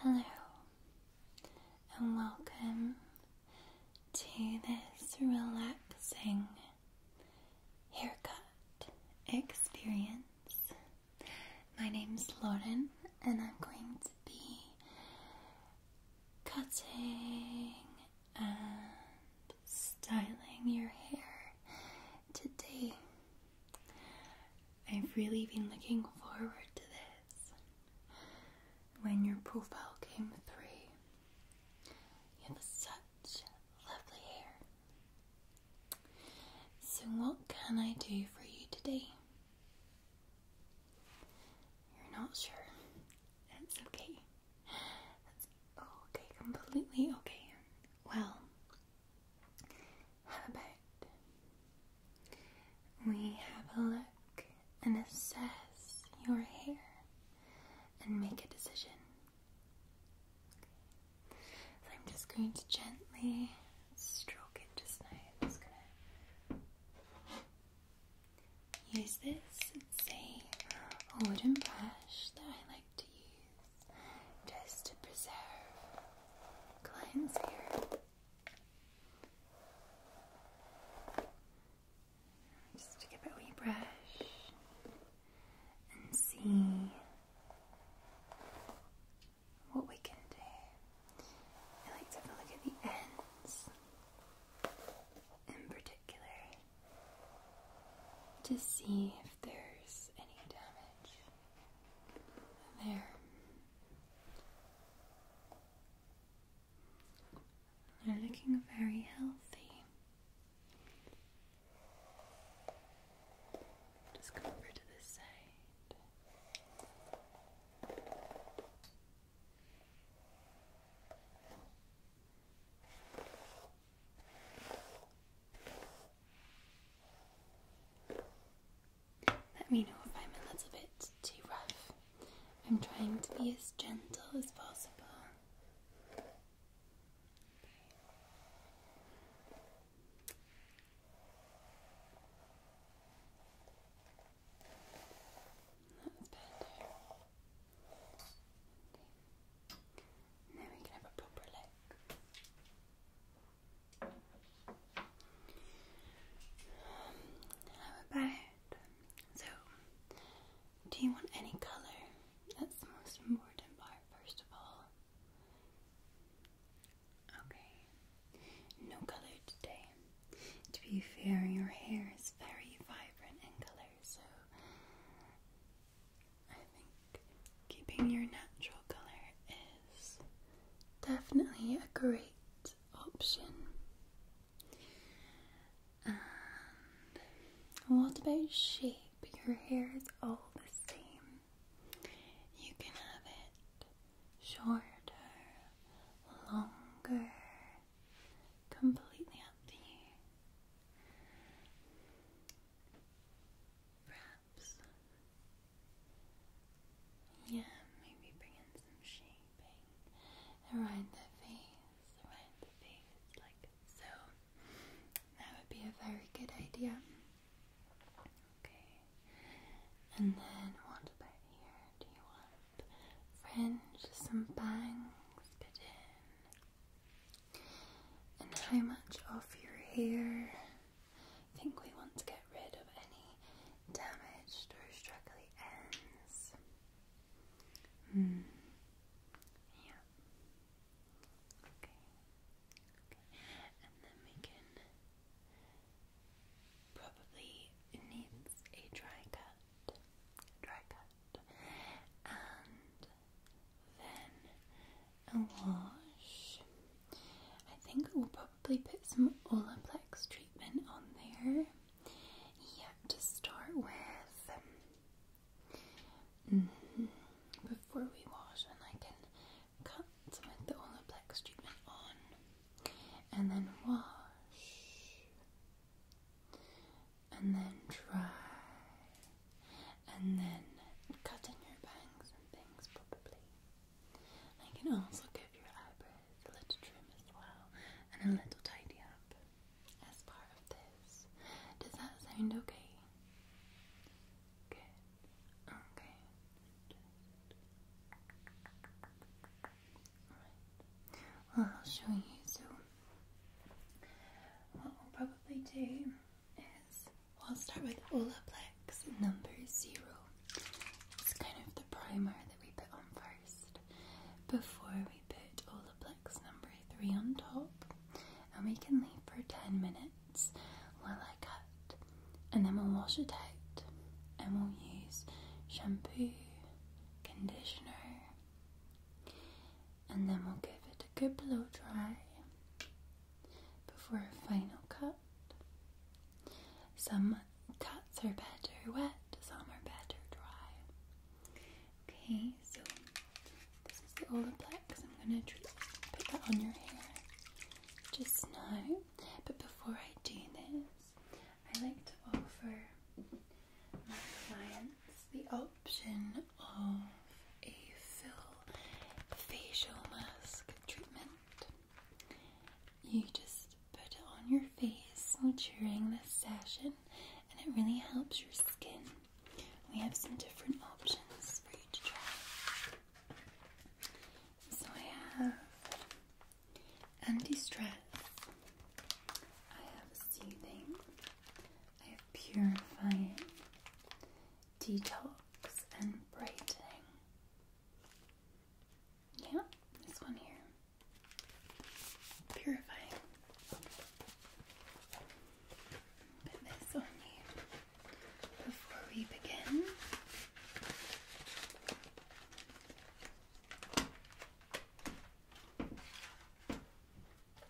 Hello, and welcome to this relaxing haircut experience. My name's Lauren, and I'm going to be cutting and styling your hair today. I've really been looking forward to this. When your profile came through, you have such lovely hair. So, what can I do for you today? You're not sure. That's okay okay, completely okay. Well, how about we have a look and assess your hair and make a decision? I'm just going to gently stroke it just now. I'm just gonna use this. It's a wooden brush that I like to use just to preserve clients' Just to give it a wee brush and see what we can do. I like to look at the ends in particular to see if there's any damage there. They're looking very healthy. Just come over to this side. Let me know if I'm a little bit too rough. I'm trying to be as gentle as possible. That's better. Okay. we can have a proper look. How about so? Do you want any colour? That's the most important part, first of all. Okay, no colour today. To be fair, your hair is very vibrant in colour, so I think keeping your natural colour is definitely a great option. And what about shape? Your hair is all the same. You can have it shorter, longer, completely up to you. Perhaps, yeah, maybe bring in some shaping around the face, around the face, like so. That would be a very good idea. Okay, and then what about here? Do you want fringe, some bangs put in? And how much of your hair? I think we want to get rid of any damaged or struggly ends. Hmm. Yeah. Okay. And then we can probably needs a dry cut. Dry cut. And then a wash. I think we'll probably put some Olaplex treatment on there. Yeah, to start with. Mm-hmm. Before we wash, and I can cut some the Olaplex treatment on, and then wash and then dry, and then cut in your bangs and things probably. I can also give your eyebrows a little trim as well, and a little tidy up as part of this. Does that sound okay? Good. Okay. Alright. Well, I'll show you soon. What we'll probably do is we'll start with Olaplex number zero. It's kind of the primer that we put on first before we put Olaplex number three on top, and we can leave for 10 minutes while I cut, and then we'll wash it out and we'll use shampoo, conditioner and then we'll give it a good blow dry before a final cut. Some cuts are better wet, some are better dry. Okay, so this is the black. So I'm going to put that on your hair just now. But before I do this, I like to offer my client. It's the option of a full facial mask treatment. You just put it on your face during the session, and it really helps your skin. We have some different options for you to try. So I have anti-stress. I have soothing. I purifying, detox, and brightening. Yeah, this one here. Purifying. Put this on you before we begin.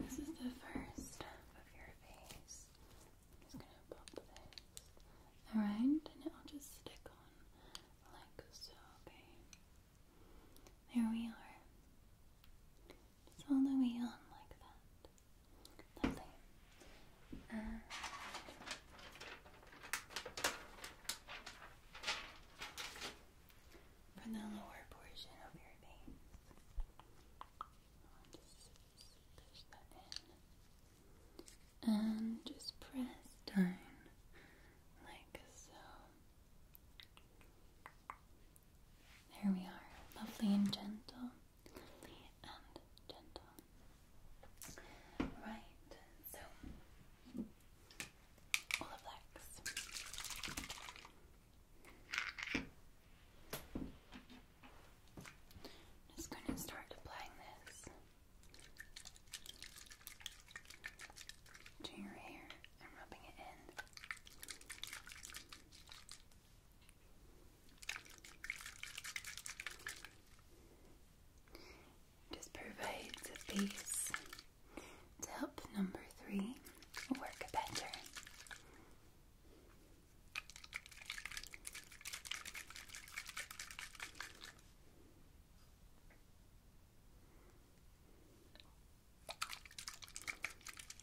This is the first half of your face. I'm just going to pop this around and it'll just stick on like so, There we are. Just all the way on like that. Lovely. Uh, the lower portion of your veins, and just press down like so. There we are, lovely and gentle lovely and Right, so all the blacks. just going to start applying this to your hair and rubbing it in. Just provides a base to help number three work better.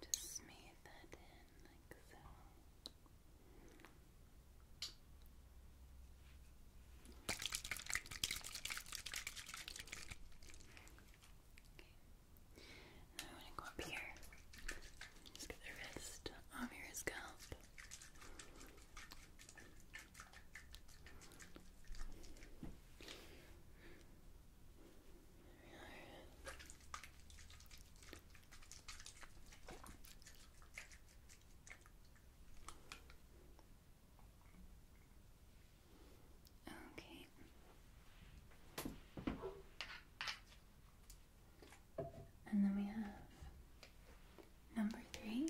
Just smear that in like so. Okay. Now I'm gonna go up here. Just get the wrist of your scalp. There we are. Okay. And then we have number three.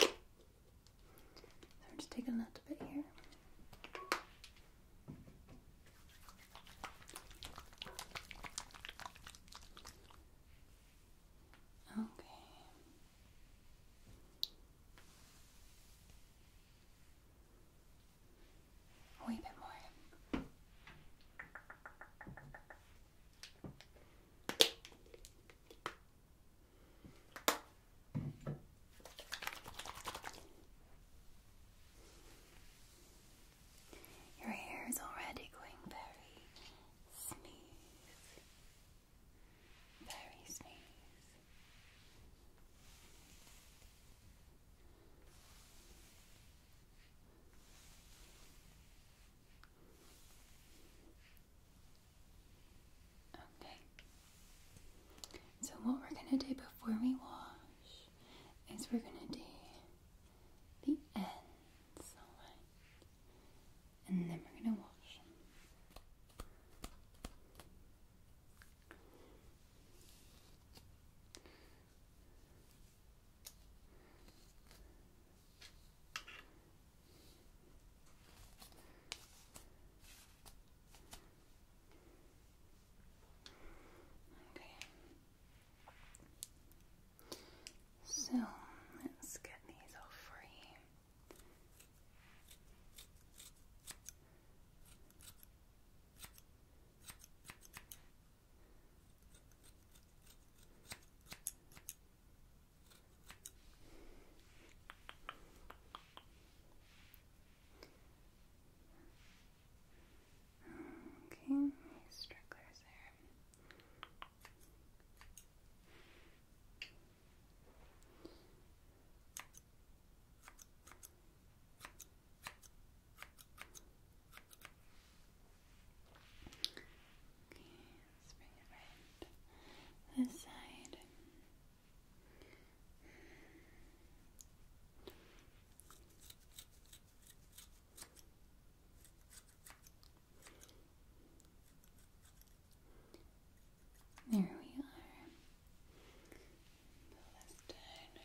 So just take a little bit here. Okay. A wee bit more. Your hair is already going very smooth, very smooth. Okay. So, what we're going to do before we wash is we're going to do the ends, And then we're going to wash Okay. So let's get these off for you. Okay, strugglers there. Okay, let's bring it right this side. There we are. So that's done.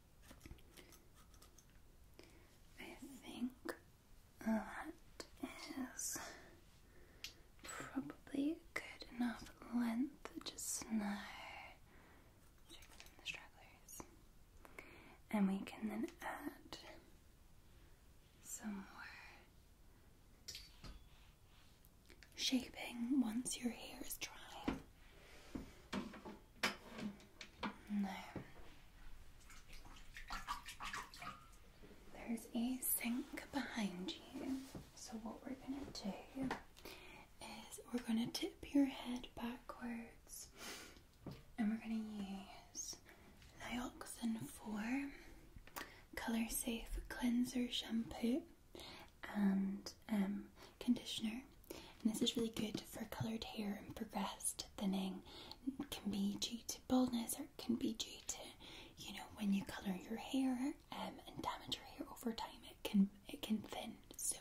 I think that is probably good enough length just now. Check in the stragglers. And we can then add some more shaping once your hair is dry. No. There's a sink behind you. So what we're gonna do is we're gonna tip your head backwards and we're gonna use Nioxin 4 Color Safe Cleanser Shampoo and um, conditioner. And this is really good for coloured hair and progressed thinning. It can be due to baldness or it can be due to, you know, when you colour your hair um, and damage your hair over time, it can it can thin. So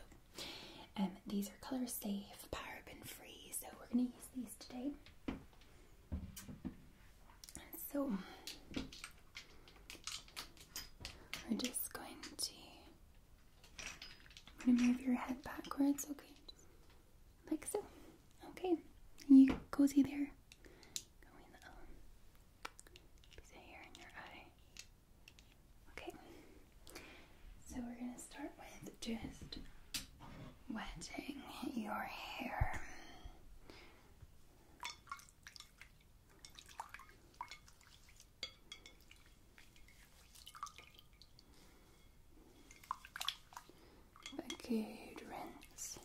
um, these are colour safe, paraben free, so we're going to use these today. So we're just going to I'm gonna move your head backwards, okay? like so. Okay. you cozy there. Go in um, the Okay. So we're gonna start with just wetting your hair. A good rinse.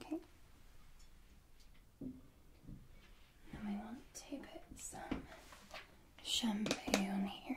Okay. Now I want to put some shampoo on here.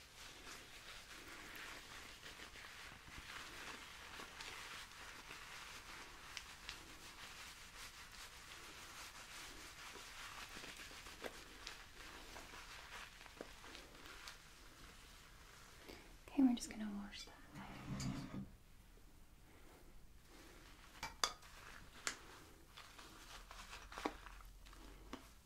Okay, we're just going to wash that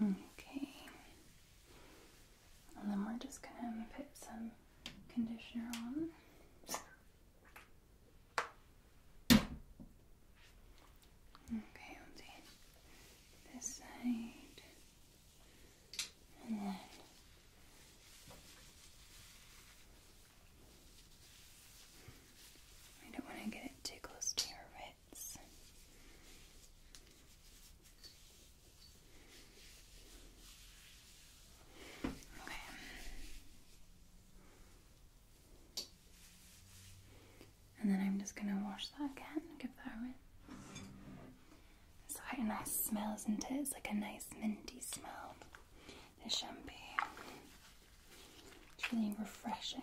Okay. And then we're just gonna put some conditioner on. Okay, we this side. And then I don't want to get it too close to your wrist. And then I'm just gonna wash that again, give that a rinse. It's quite a nice smell, isn't it? It's like a nice minty smell. This shampoo. It's really refreshing.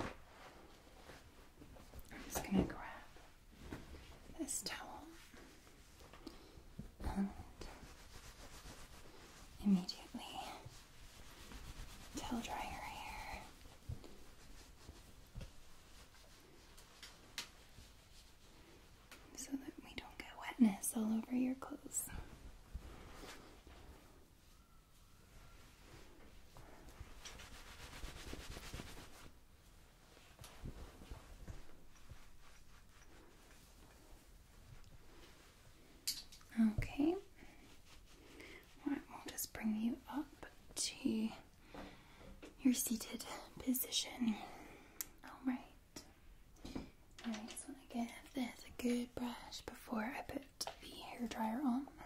I'm just going to grab this towel and immediately towel dry your hair. So that we don't get wetness all over your clothes. Okay, right, we'll just bring you up to your seated position. Alright, alright, so I'm gonna give this a good brush before I put the hair dryer on.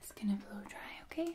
It's gonna blow dry, okay?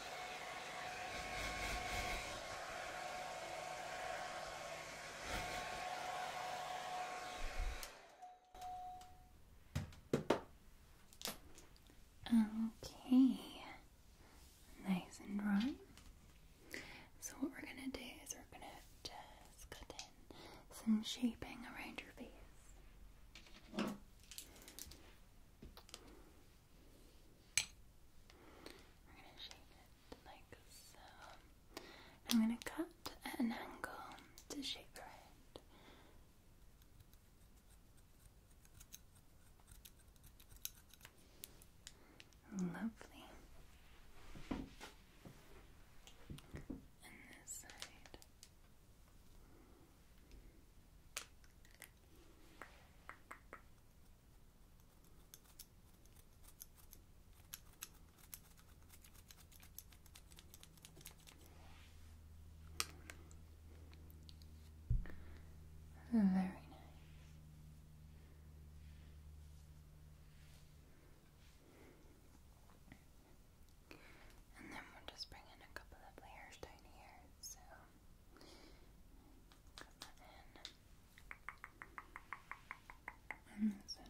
Okay, nice and dry. So, what we're going to do is we're going to just cut in some shaping around your face. I'm going to um, cut at an angle to shape her head. Lovely. And this side. Very nice. And then we'll just bring in a couple of layers down here. So Come in. And this in.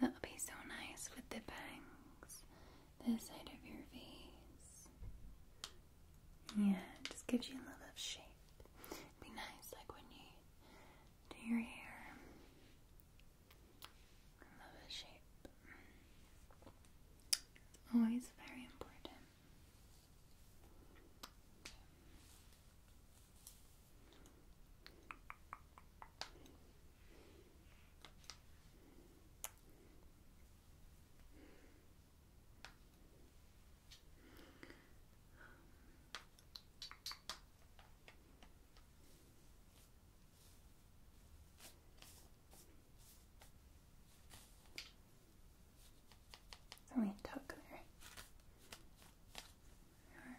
That'll be so nice with the bangs, the side of your face. Yeah, it just gives you a little of shape. be nice, like when you do your hair love the shape. Always very important. Let me tuck there. Right.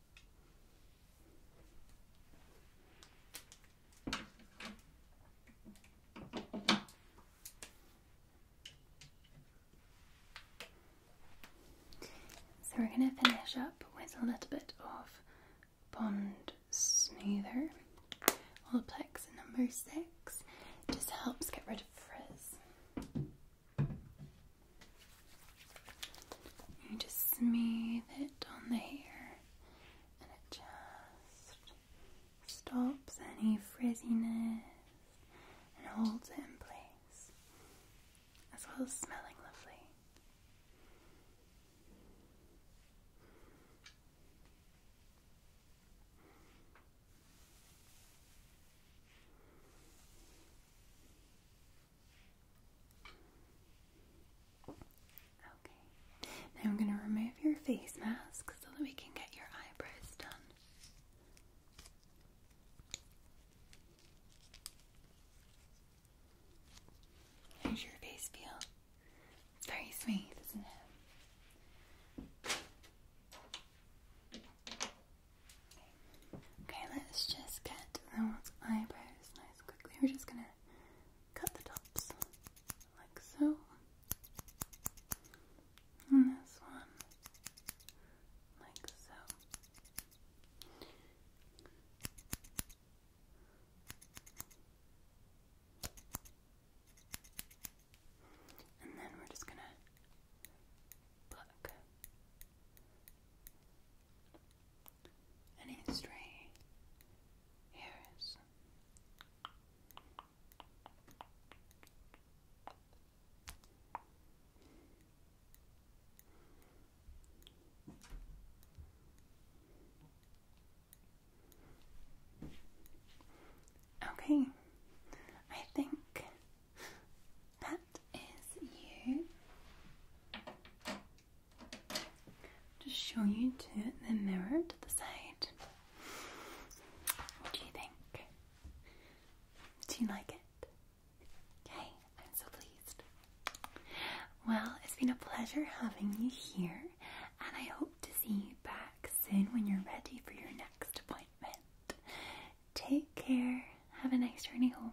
So we're going to finish up with a little bit of Bond Smoother, Olaplex number six. just helps get rid of frizz. You just smooth it on the hair and it just stops any frizziness and holds it in place, as well as smelling lovely. Okay. Now I'm going to remove your face mask so that we can get your eyebrows done. How's your face feel? very smooth, isn't it? Okay, let's just get those eyebrows nice quickly. We're just gonna cut the tops like so. And this one like so. And then we're just gonna pluck any stray hairs. Okay, I think that is you. Just show you to the mirror to the side. What do you think? Do you like it? Okay, I'm so pleased. Well, it's been a pleasure having you here, and I hope to see you back soon when you're ready for your next appointment. Take care. Have a nice journey home.